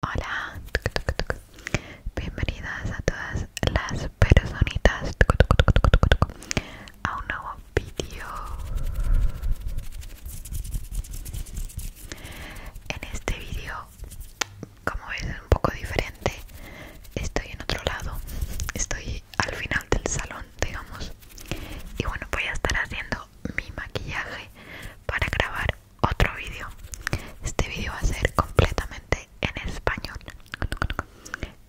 Hola, bienvenidas a todas las personitas a un nuevo vídeo. En este vídeo, como ves, es un poco diferente. Estoy en otro lado, estoy al final del salón, digamos. Y bueno, voy a estar haciendo mi maquillaje para grabar otro vídeo. Este vídeo va a ser completamente en español.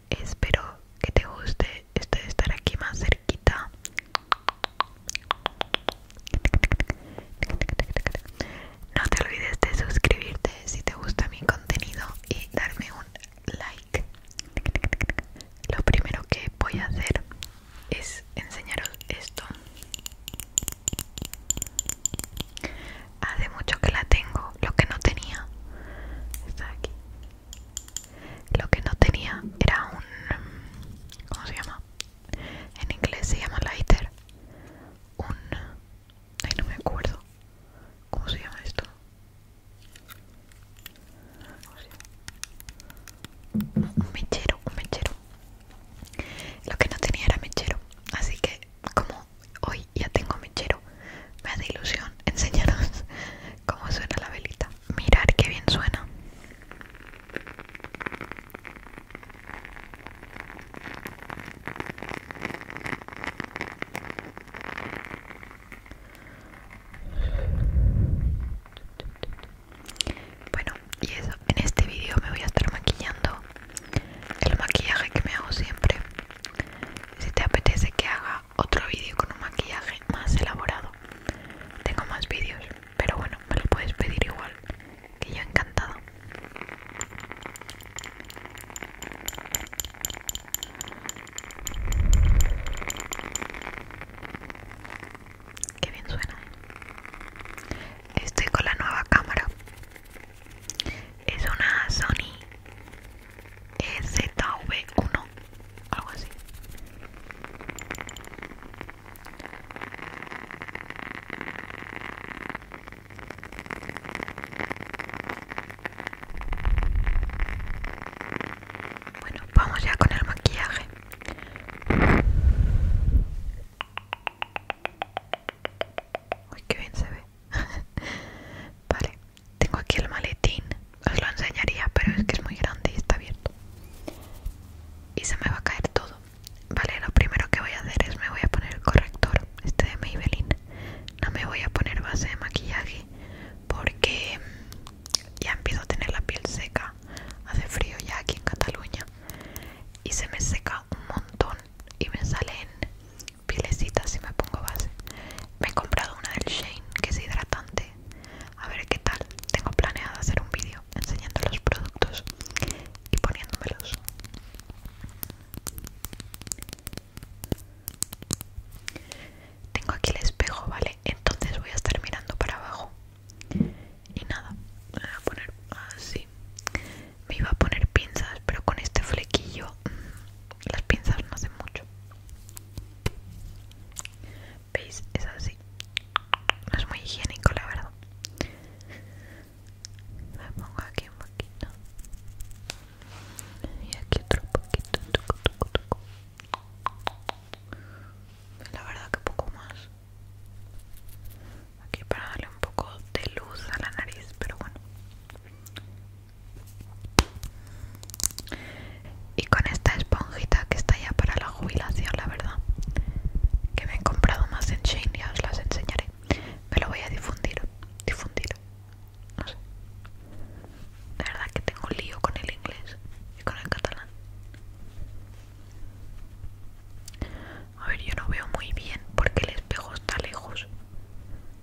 Espero que te guste este estar aquí más cerquita. No te olvides de suscribirte si te gusta mi contenido y darme un like. Lo primero que voy a hacer es enseñaros esto hace ah, mucho que la tengo lo que no tenía está aquí lo que no tenía era un ¿cómo se llama? en inglés se llama lighter un ay no me acuerdo ¿cómo se llama esto? un mechero un mechero lo que no tenía era mechero, así que como hoy ya tengo mechero, me da ilusión enseñaros cómo suena la velita. Mirar qué bien suena. Bueno, y eso, en este vídeo me voy a estar maquillando el maquillaje que me hago siempre. Si te apetece que haga otro vídeo con un maquillaje más elaborado, tengo más vídeos, pero bueno, me lo puedes pedir igual, que yo encantado. Qué bien suena. ¿eh? Estoy con la nueva cámara. Es una Sony ZV1, algo así. Bueno, vamos ya con el maquillaje. Uy, qué bien se ve. vale, tengo aquí el maletín. Os lo enseñaría, pero es que es muy grande y está abierto. Y se me va a caer todo. Vale, lo primero que voy a hacer es me voy a poner el corrector, este de Maybelline. No me voy a poner base de maquillaje porque ya empiezo a tener la piel seca. Hace frío ya aquí en Cataluña y se me seca un montón y me salen pilecitas si me pongo base me he comprado una del Shane que es hidratante a ver qué tal tengo planeado hacer un vídeo enseñando los productos y poniéndomelos tengo aquí el espejo vale entonces voy a estar mirando para abajo y nada me voy a poner así me iba a poner pinzas pero con este flequillo mm, las pinzas no hacen mucho veis es así no es muy higiénico la verdad me pongo aquí un poquito y aquí otro poquito la verdad que poco más aquí para darle un poco de luz a la nariz pero bueno y con esta esponjita que está ya para la jubilación la verdad que me he comprado más en Shein ya os las enseñaré me lo voy a difundir difundir no sé la verdad que tengo lío con el inglés y con el catalán a ver, yo no veo muy bien porque el espejo está lejos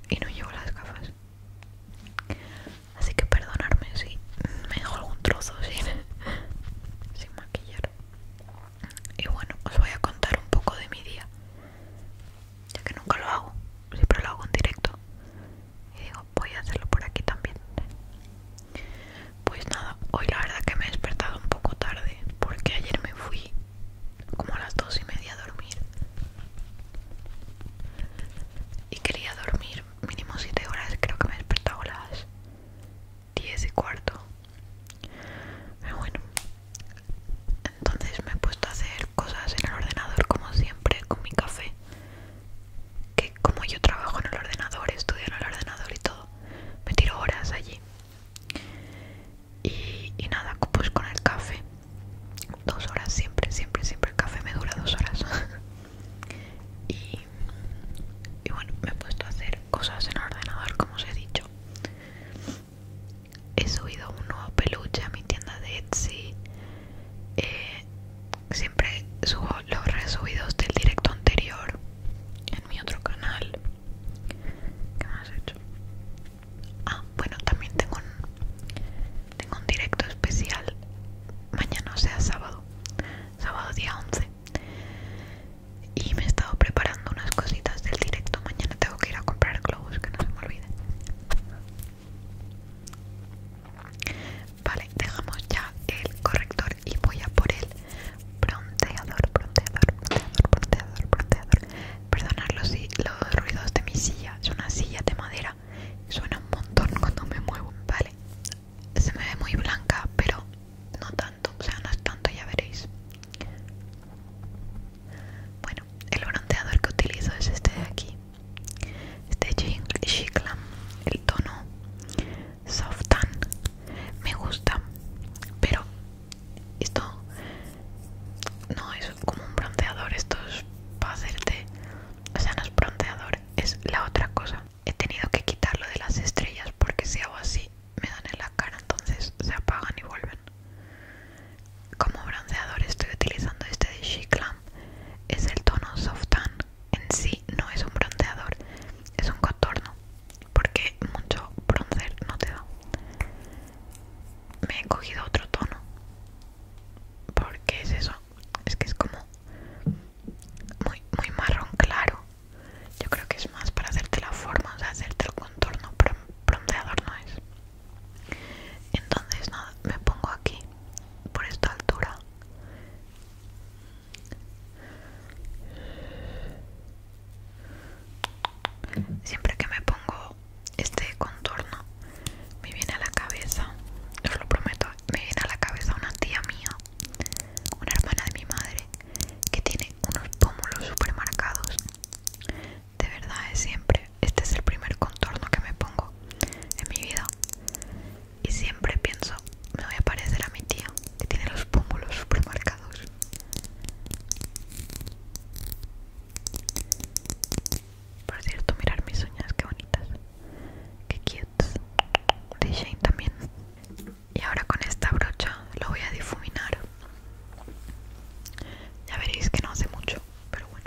y no llevo las gafas. Así que perdonadme si me dejo algún trozo sin, sin maquillar. Y bueno, os voy a contar un poco de mi día. Ya que nunca lo hago, siempre lo hago en directo. Y digo, voy a hacerlo por aquí también. Pues nada, hoy la verdad que me he despertado un poco tarde porque ayer me fui como a las dos y media a dormir y quería dormir mínimo 7 horas, creo que me he despertado a las 10 y cuarto. bueno, entonces me he puesto a hacer cosas en el ordenador como siempre con mi café. Que como yo trabajo en el ordenador, estudio en el ordenador y todo, me tiro horas allí. Y, nada, pues con el café, dos horas siempre, siempre, siempre el café me dura dos horas. y, bueno, me he puesto a hacer cosas en ordenador, como os he dicho. He subido un nuevo peluche a mi tienda de Etsy. Eh, siempre subo los resubidos del directo anterior en mi otro canal. ¿Qué más hecho? Ah, bueno, también tengo un, tengo un directo especial mañana, o sea, sábado, sábado día 11. Y me he estado preparando unas cositas del directo. Mañana tengo que ir a comprar globos, que no se me olvide. Vale, dejamos ya el corrector y voy a por el bronceador, bronceador, bronceador, bronceador, bronceador. Perdonad los, ruidos de mi silla, es una silla de madera, suena un montón cuando me muevo, vale. Se me ve muy blanca, pero no tanto, o sea, no es tanto, ya veréis. Bueno, el bronceador que utilizo es este de aquí, este Chiclam, el tono soft tan me gusta pero esto no es como un bronceador esto es para hacerte o sea no es bronceador es la otra cosa he tenido que quitarlo de las estrellas porque si hago así me dan en la cara entonces se apagan y vuelven como bronceador estoy utilizando este de She es el tono soft tan en sí no es un bronceador, es un contorno, porque mucho bronzer no te da. Me he cogido otro tono. porque es eso? Es que es como muy, muy marrón claro. Yo creo que es más para hacerte la forma, o sea, hacerte el contorno, pero bronceador no es. Entonces nada, me pongo aquí, por esta altura, Siempre que me pongo este contorno me viene a la cabeza, os lo prometo, me viene a la cabeza una tía mía, una hermana de mi madre, que tiene unos pómulos super marcados. De verdad, es siempre. Este es el primer contorno que me pongo en mi vida y siempre pienso, me voy a parecer a mi tía, que tiene los pómulos super marcados. Por cierto, mirar mis uñas, que bonitas. Que cute. De Shane también. Y ahora con esta brocha lo voy a difuminar. Ya veréis que no hace mucho, pero bueno.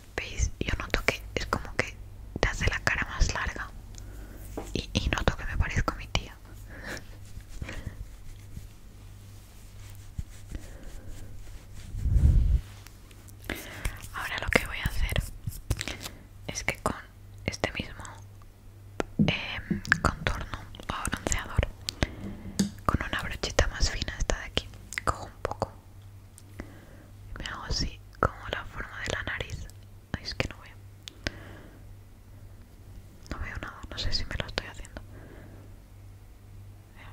¿Veis? Yo noto que es como que te hace la cara más larga. Y, noto que me parezco a mi tía. Ahora lo que voy a hacer es que con este mismo em, contorno o bronceador, con una brochita más fina, esta de aquí, cojo un poco me hago así como la forma de la nariz es que no veo no veo nada no sé si me lo estoy haciendo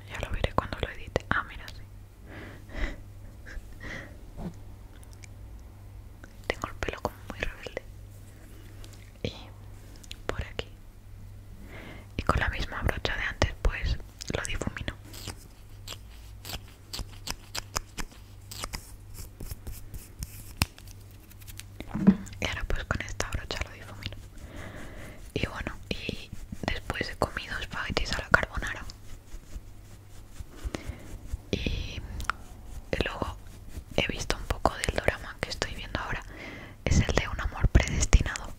ya lo veré cuando lo edite ah mira sí tengo el pelo como muy rebelde y por aquí y con la misma brocha de antes pues lo difumino Y ahora pues con esta brocha lo difumino. Y bueno, y después he comido espaguetis a la carbonara. Y luego he visto un poco del drama que estoy viendo ahora. Es el de un amor predestinado.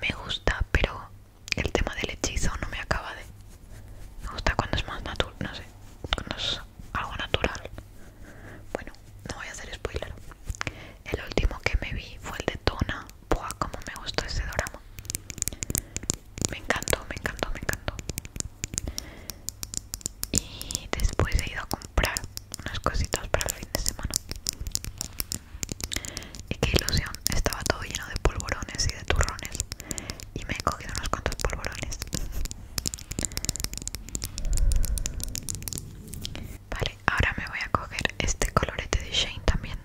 Me gusta, pero el tema del hechizo no me acaba de... Me gusta cuando es más natural, no sé, cuando es algo natural. Bueno, no voy a hacer spoiler. El último que me vi fue el de Tona. Buah, como me gustó ese drama. Me encantó, me encantó, me encantó. Y después he ido a comprar unas cositas para el fin de semana. Y qué ilusión, estaba todo lleno de polvorones y de turrones. Y me he cogido unos cuantos polvorones. Vale, ahora me voy a coger este colorete de Shane también.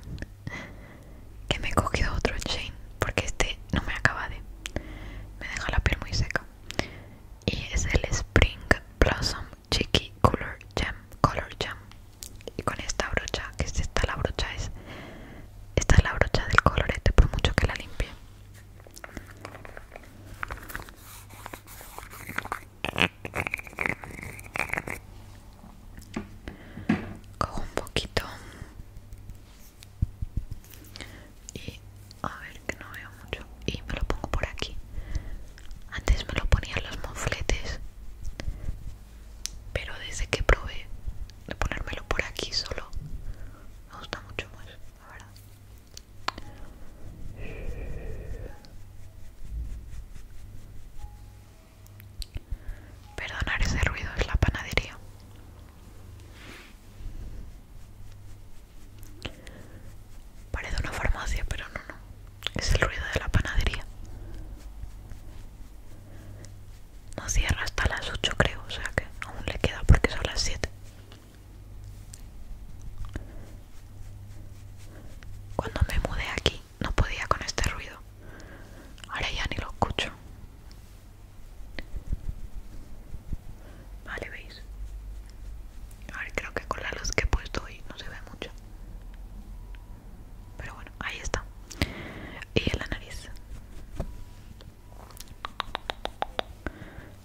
Que me he cogido otro Shane, porque este no me acaba de. Me deja la piel muy seca. Y es el Spring Blossom Chiqui Color Jam Color Jam y con esta brocha que es esta la brocha es esta es la brocha del colorete por mucho que la limpie cojo un poquito y a ver que no veo mucho y me lo pongo por aquí antes me lo ponía en los mofletes pero desde que probé de ponérmelo por aquí solo me gusta mucho más, la verdad. Perdonar ese ruido es la panadería. Parece una farmacia, pero no, no. Es el ruido de la panadería. No cierra hasta las 8 creo, o sea que aún le queda porque son las 7. Cuando me mudé aquí no podía con este ruido. Ahora ya ni lo escucho. Vale, veis. A creo que con la luz que he puesto hoy no se ve mucho. Pero bueno, ahí está. Y en la nariz.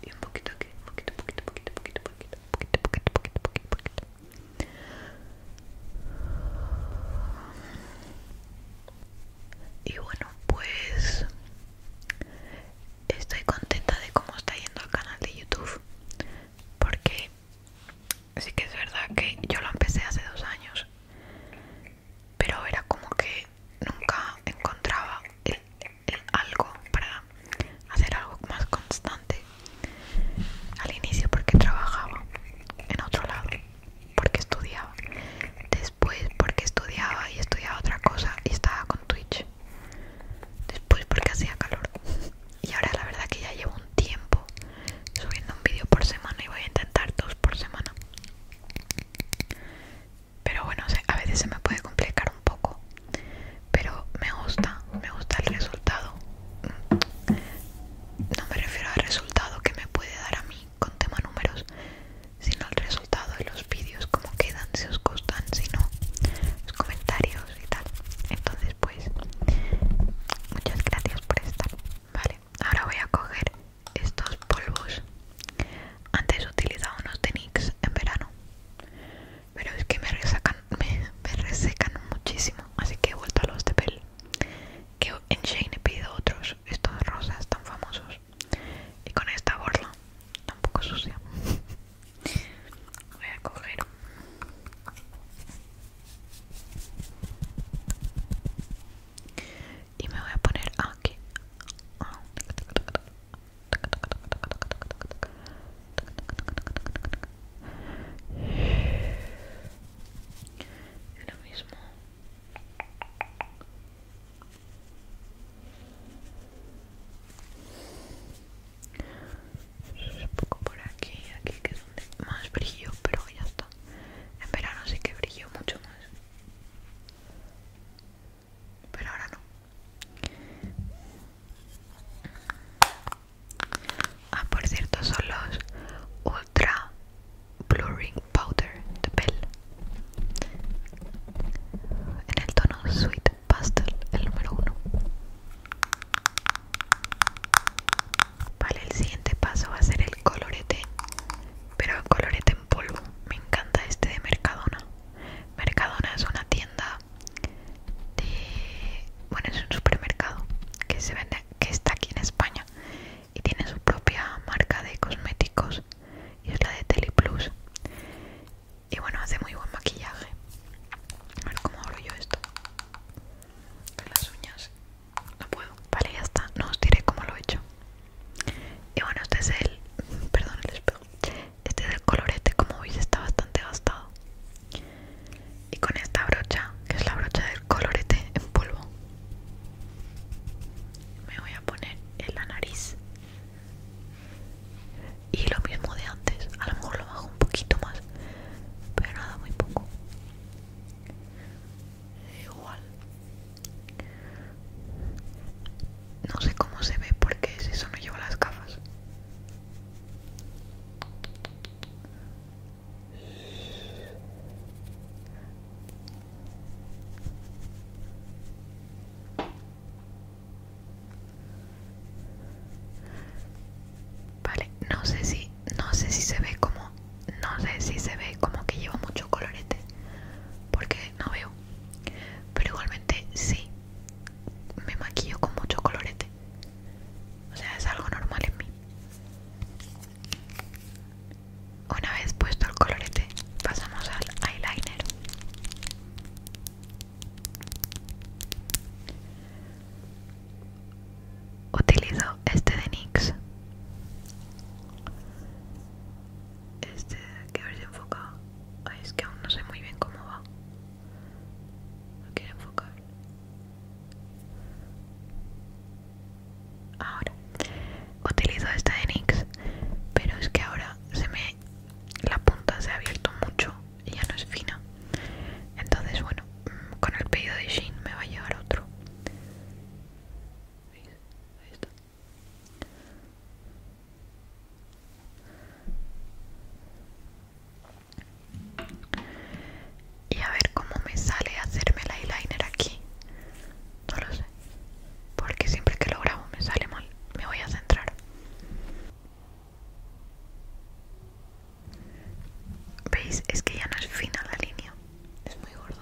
Y un poquito aquí, un poquito, poquito, poquito, poquito, poquito, poquito, poquito, poquito, poquito, poquito. Y bueno, pues estoy contenta de cómo está yendo el canal de YouTube porque sí que es verdad que yo lo empecé hace dos años, pero era como que nunca encontraba algo para hacer algo más constante al inicio porque trabajaba en otro lado, porque estudiaba, después porque estudiaba y estudiaba otra cosa y estaba con Twitch, después porque hacía calor y ahora la verdad que ya llevo un tiempo subiendo un vídeo por semana y voy a intentar dos por semana pero bueno a veces se me puede complicar un poco pero me gusta me gusta el resultado no me refiero al resultado que me puede dar a mí con tema números sino el resultado de los vídeos como quedan si os gustan si no los comentarios y tal. Entonces, pues, muchas gracias por estar. Vale, ahora voy a coger estos polvos. Antes he utilizado unos de NYX en verano, pero es que me resacan, me, resecan muchísimo, así que he vuelto a los de Bell. Que en Shane he pedido otros, estos rosas tan famosos. Y con esta borla, tampoco sucia. Voy a coger y me voy a poner aquí lo mismo un poco por aquí, aquí que es donde más brillo, pero ya está. En verano sí que brillo mucho más. Pero ahora no. Ah, por cierto, son los Ultra Blurring Powder de Bell. En el tono Sweet Pastel, el número uno. Vale, el siguiente paso va a ser el colorete, pero colorete en polvo. Me encanta este de Mercadona. Mercadona es una tienda de, bueno, es un supermercado que se vende, que está aquí en España y tiene su propia marca de cosméticos y es la de Plus Y bueno, hace muy buen maquillaje. A ver cómo abro yo esto las uñas no puedo vale ya está no os diré cómo lo he hecho y bueno este es el perdón el este es el colorete como veis está bastante gastado y con esta brocha que es la brocha del colorete en polvo me voy a poner en la nariz y lo mismo de antes a lo mejor lo bajo un poquito más pero nada muy poco igual no sé cómo se ve porque si eso no llevo las gafas Vale, no sé si, no sé si se ve como, no sé si se ve como que llevo mucho colorete, porque no veo. Pero igualmente sí, me maquillo con mucho colorete. O sea, es algo normal en mí. Una vez puesto el colorete, pasamos al eyeliner. Utilizo este de Nix. Este, que a ver es que aún no sé muy bien cómo va. No enfocar. Ahora, utilizo este de NYX, pero es que ahora se me. La punta se ha abierto mucho ya no es fina entonces bueno mm, con el pedido de jean me va a llevar otro ahí está y a ver cómo me sale hacerme el eyeliner aquí no lo sé porque siempre que lo grabo me sale mal me voy a centrar ¿Veis? Es que ya no es fina la línea. Es muy gordo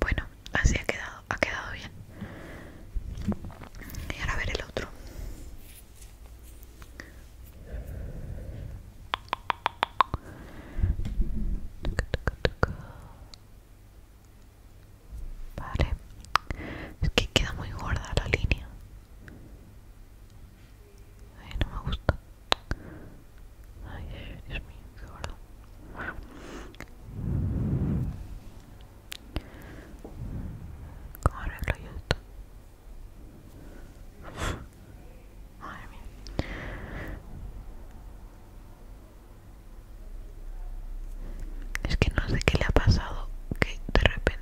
bueno, así ha quedado, ha quedado bien. Y ahora ver el otro. Vale, es que queda muy gorda la línea. Ay, no me gusta. Ay, Dios mío, qué gordo. ¿Cómo arreglo yo esto? Madre Es que no sé qué le ha pasado que de repente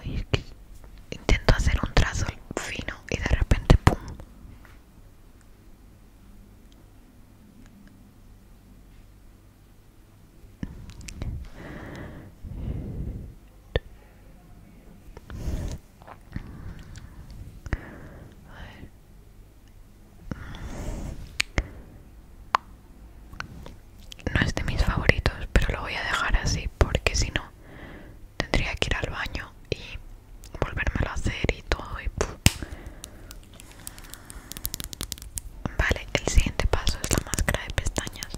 Oye, intento hacer un trazo fino y de repente ¡pum! No es de mis favoritos, pero lo voy a dejar así porque si no tendría que ir al baño y volvérmelo a hacer y todo y Vale, el siguiente paso es la máscara de pestañas.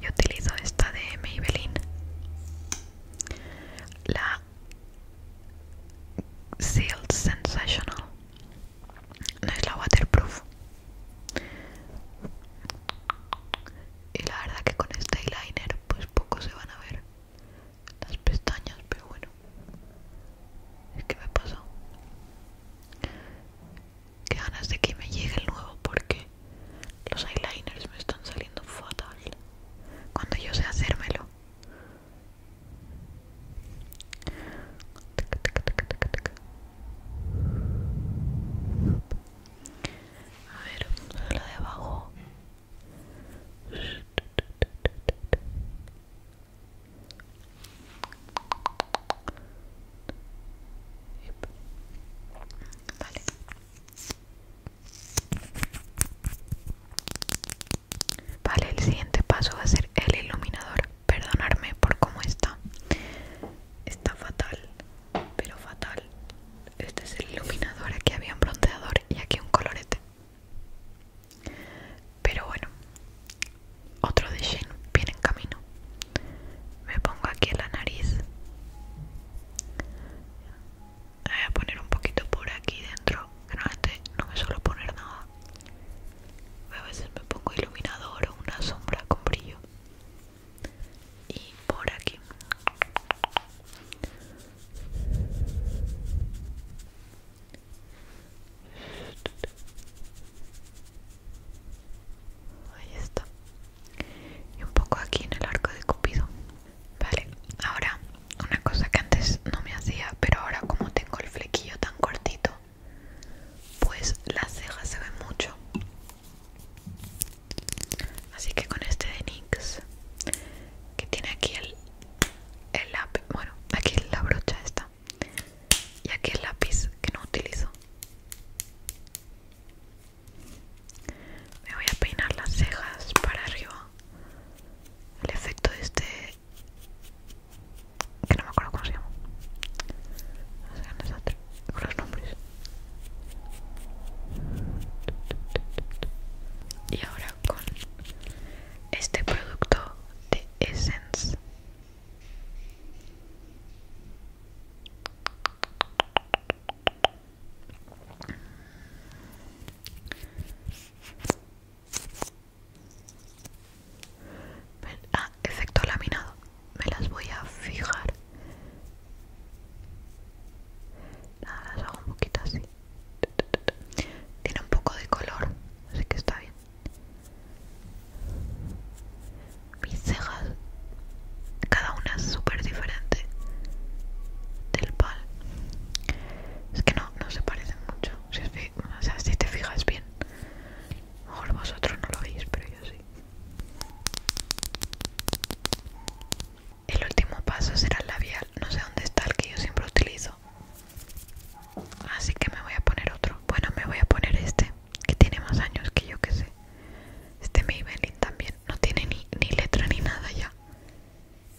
Yo utilizo esta de Maybelline. La Sealed Sensational. No es la waterproof y la verdad que con este eyeliner pues poco se van a ver las pestañas pero bueno es que me pasó que ganas de que me llegue el nuevo porque los eyeliners me están saliendo fatal cuando yo sé hacérmelo a ver, lo de abajo. Vale. Vale, el siguiente paso va a ser el iluminador. Perdonarme por cómo está. Está fatal pero fatal. Este es el iluminador, aquí había un bronceador y aquí un colorete. Pero bueno, otro de Shein viene en camino. Me pongo aquí en la nariz. Voy a poner un poquito por aquí dentro, no me suelo poner nada. A veces me pongo iluminador o una sombra con brillo y por aquí ahí está y un poco aquí en el arco de cupido vale ahora una cosa que antes no me hacía pero ahora como tengo el flequillo tan cortito pues las cejas se ven mucho Así que con este de NYX que tiene aquí el, lápiz, bueno, aquí la brocha está y aquí el lápiz que no utilizo. Me voy a peinar las cejas para arriba. El efecto de este que no me acuerdo cómo se llama. No los nombres y ahora con este producto de Essence Ah, efecto laminado. Me las voy a fijar. Nada, las hago un poquito así. Tiene un poco de color, así que está bien. Mis cejas, cada una es súper diferente del pal. Es que no, no se parecen mucho. Si, o si te fijas bien, a mejor vosotros no lo veis, pero yo sí. El último paso será el labial. No sé dónde está el que yo siempre utilizo. Así que me voy a poner otro. Bueno, me voy a poner este, que tiene más años que yo que sé. Este Maybelline también. No tiene ni, letra ni nada ya.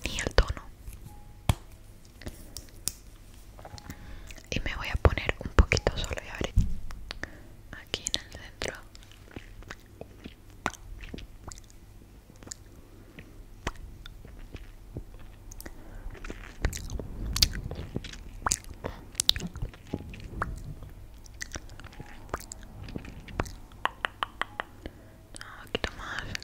Ni el tono. Y me voy a poner un poquito solo y a aquí en el centro no, aquí más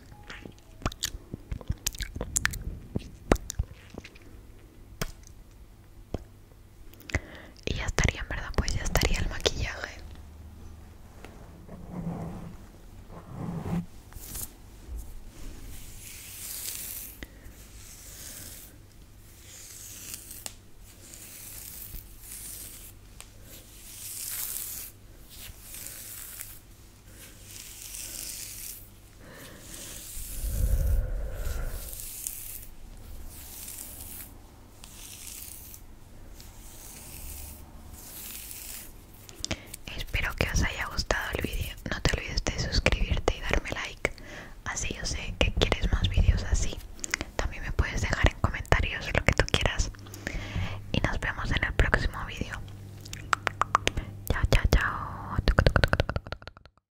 y ya estaría en verdad pues ya estaría el maquillaje Espero que os haya gustado el vídeo. No te olvides de suscribirte y darme like. Así yo sé que quieres más vídeos así. También me puedes dejar en comentarios lo que tú quieras. Y nos vemos en el próximo vídeo. Chao, chao, chao.